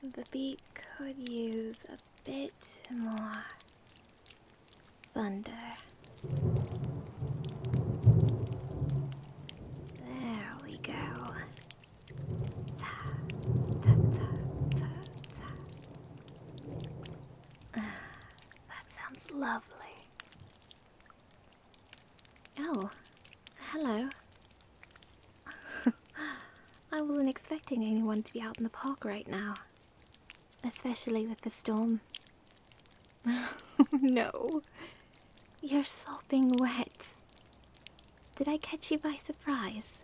The beat could use a bit more thunder. There we go. that sounds lovely. Oh, hello. I wasn't expecting anyone to be out in the park right now, especially with the storm. no, you're sopping wet. Did I catch you by surprise?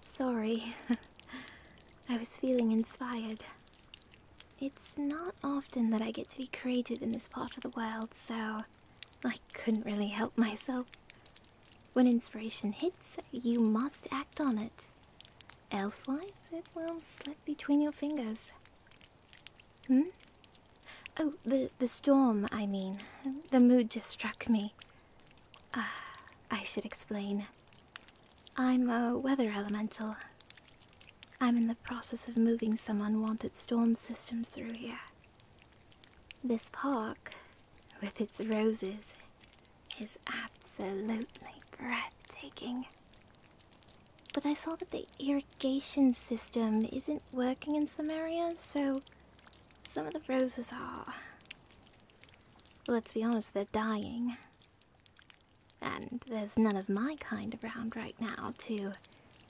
Sorry, I was feeling inspired. It's not often that I get to be creative in this part of the world, so I couldn't really help myself. When inspiration hits, you must act on it. Elsewise, it will slip between your fingers. Hmm? Oh, the, the storm, I mean. The mood just struck me. Ah, I should explain. I'm a weather elemental. I'm in the process of moving some unwanted storm systems through here. This park, with its roses, is absolutely breathtaking. But I saw that the irrigation system isn't working in some areas, so some of the roses are. Let's be honest, they're dying. And there's none of my kind around right now too.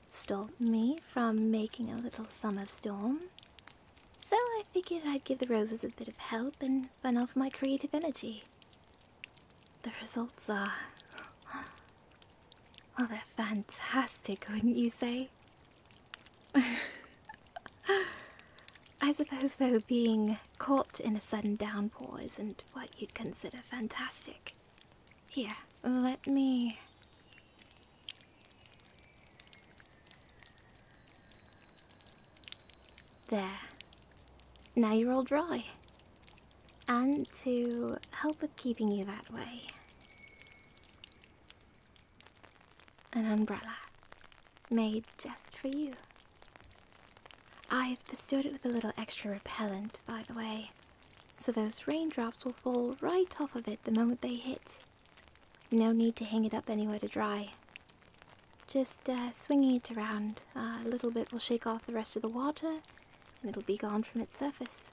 Stop me from making a little summer storm. So I figured I'd give the roses a bit of help and run off my creative energy. The results are. Well, they're fantastic, wouldn't you say? I suppose, though, being caught in a sudden downpour isn't what you'd consider fantastic. Here, let me. There. Now you're all dry. And to help with keeping you that way, an umbrella made just for you. I've bestowed it with a little extra repellent, by the way so those raindrops will fall right off of it the moment they hit. No need to hang it up anywhere to dry. Just uh, swinging it around. a little bit will shake off the rest of the water and it'll be gone from its surface.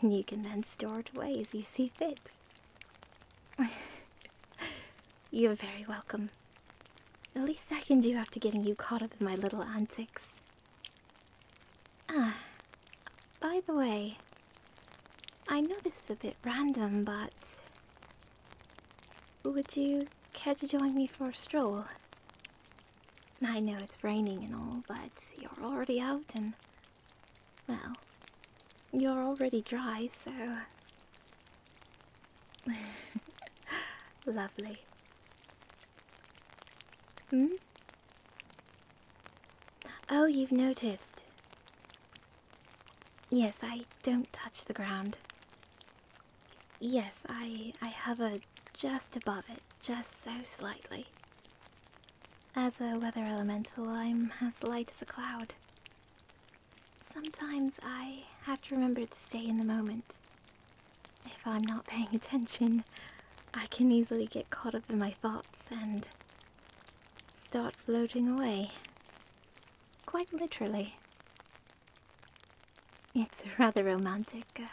You can then store it away as you see fit. You're very welcome. The least I can do after getting you caught up in my little antics. Ah, by the way, I know this is a bit random, but would you care to join me for a stroll? I know it's raining and all, but you're already out and, well, you're already dry, so. Lovely. Hmm? Oh, you've noticed. Yes, I don't touch the ground. Yes, I, I hover just above it, just so slightly. As a weather elemental, I'm as light as a cloud. Sometimes I have to remember to stay in the moment. If I'm not paying attention, I can easily get caught up in my thoughts and start floating away. Quite literally. It's rather romantic uh,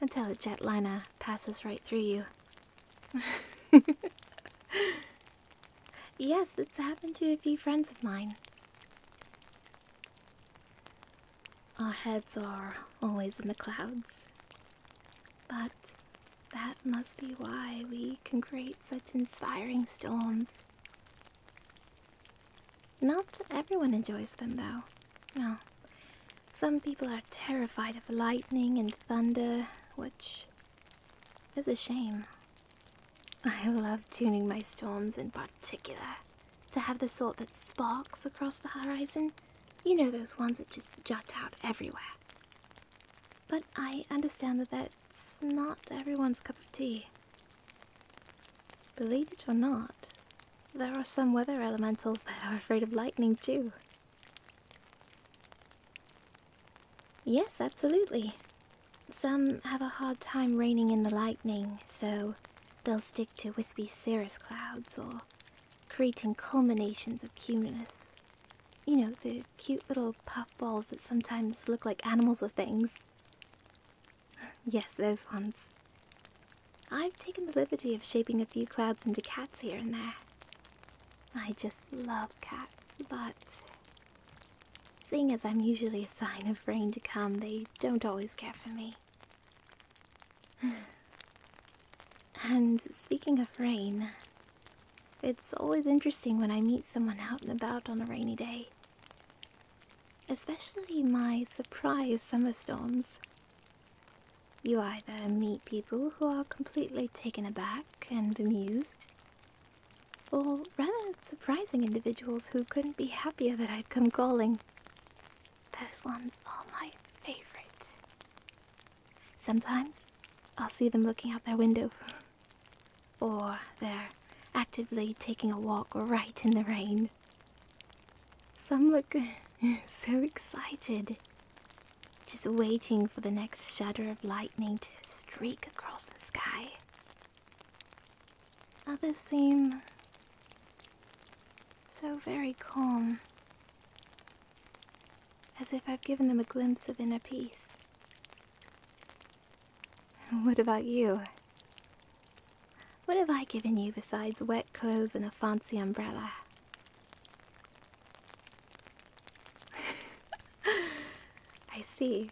until a jetliner passes right through you. yes, it's happened to a few friends of mine. Our heads are always in the clouds, but that must be why we can create such inspiring storms. Not everyone enjoys them, though. No. Some people are terrified of lightning and thunder, which is a shame. I love tuning my storms in particular, to have the sort that sparks across the horizon you know those ones that just jut out everywhere. But I understand that that's not everyone's cup of tea. Believe it or not, there are some weather elementals that are afraid of lightning too. Yes, absolutely. Some have a hard time raining in the lightning, so they'll stick to wispy cirrus clouds or creating culminations of cumulus, You know, the cute little puffballs that sometimes look like animals or things. yes, those ones. I've taken the liberty of shaping a few clouds into cats here and there. I just love cats, but seeing as I'm usually a sign of rain to come, they don't always care for me. and speaking of rain, it's always interesting when I meet someone out and about on a rainy day. Especially my surprise summer storms. You either meet people who are completely taken aback and bemused, or rather surprising individuals who couldn't be happier that I'd come calling. Those ones are my favorite. Sometimes I'll see them looking out their window, or they're actively taking a walk right in the rain. Some look so excited, just waiting for the next shudder of lightning to streak across the sky. Others seem so very calm as if I've given them a glimpse of inner peace. What about you? What have I given you besides wet clothes and a fancy umbrella? I see.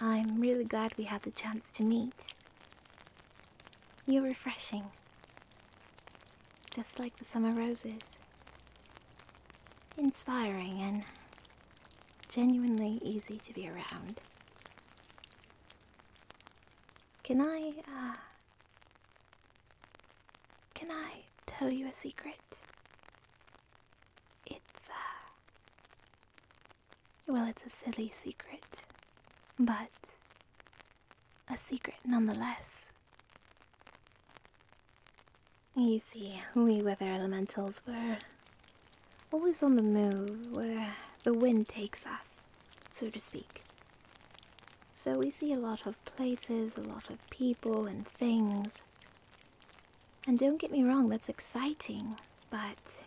I'm really glad we had the chance to meet. You're refreshing, just like the summer roses. Inspiring and genuinely easy to be around. Can I, uh, Can I tell you a secret? It's, uh. Well, it's a silly secret, but a secret nonetheless. You see, we weather elementals were always on the move where the wind takes us, so to speak. So we see a lot of places, a lot of people and things. And don't get me wrong, that's exciting, but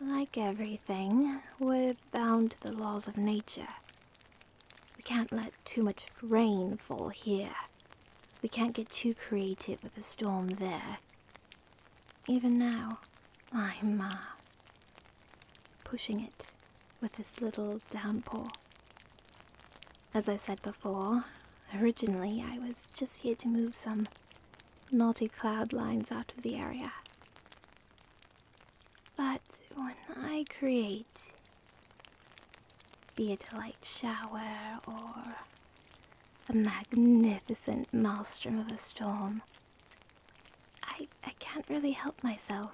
like everything, we're bound to the laws of nature. We can't let too much rain fall here. We can't get too creative with a storm there. Even now, I'm uh, pushing it with this little downpour. As I said before, originally I was just here to move some Naughty cloud lines out of the area. But when I create, be it a light shower or a magnificent maelstrom of a storm, I, I can't really help myself.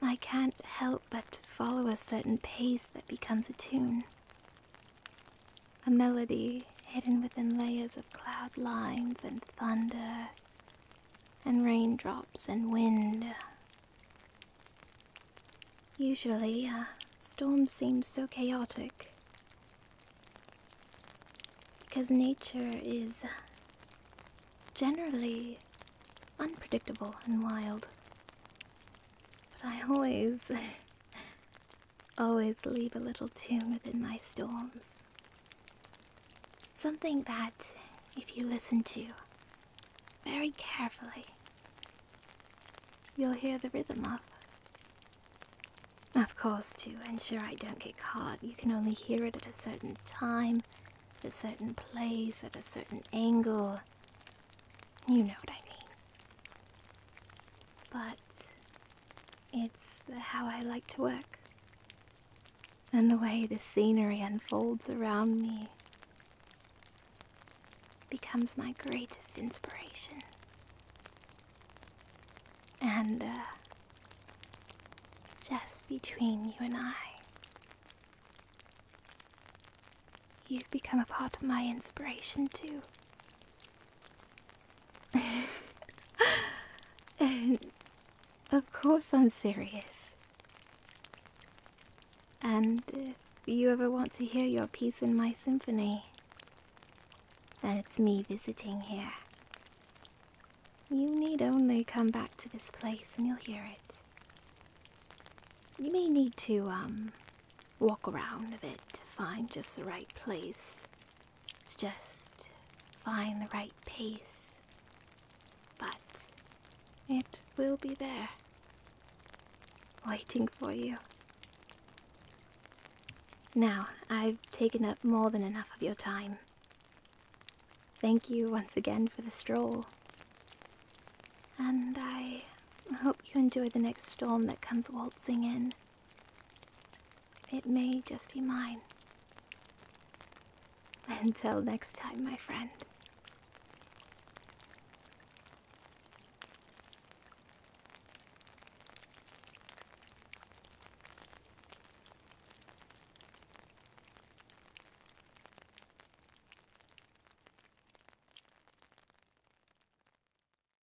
I can't help but follow a certain pace that becomes a tune a melody hidden within layers of cloud lines and thunder and raindrops and wind. Usually, a storm seems so chaotic because nature is generally unpredictable and wild. But I always always leave a little tune within my storms. Something that, if you listen to very carefully, you'll hear the rhythm of. Of course, and sure, I don't get caught, you can only hear it at a certain time, at a certain place, at a certain angle. You know what I mean. But it's how I like to work. And the way the scenery unfolds around me becomes my greatest inspiration. And uh, just between you and I, you've become a part of my inspiration too. of course, I'm serious. And if you ever want to hear your piece in my symphony, and it's me visiting here, you need only come back to this place and you'll hear it. You may need to, um, walk around a bit to find just the right place just find the right pace. But it will be there, waiting for you. Now, I've taken up more than enough of your time. Thank you once again for the stroll. And I hope you enjoy the next storm that comes waltzing in. It may just be mine. Until next time, my friend.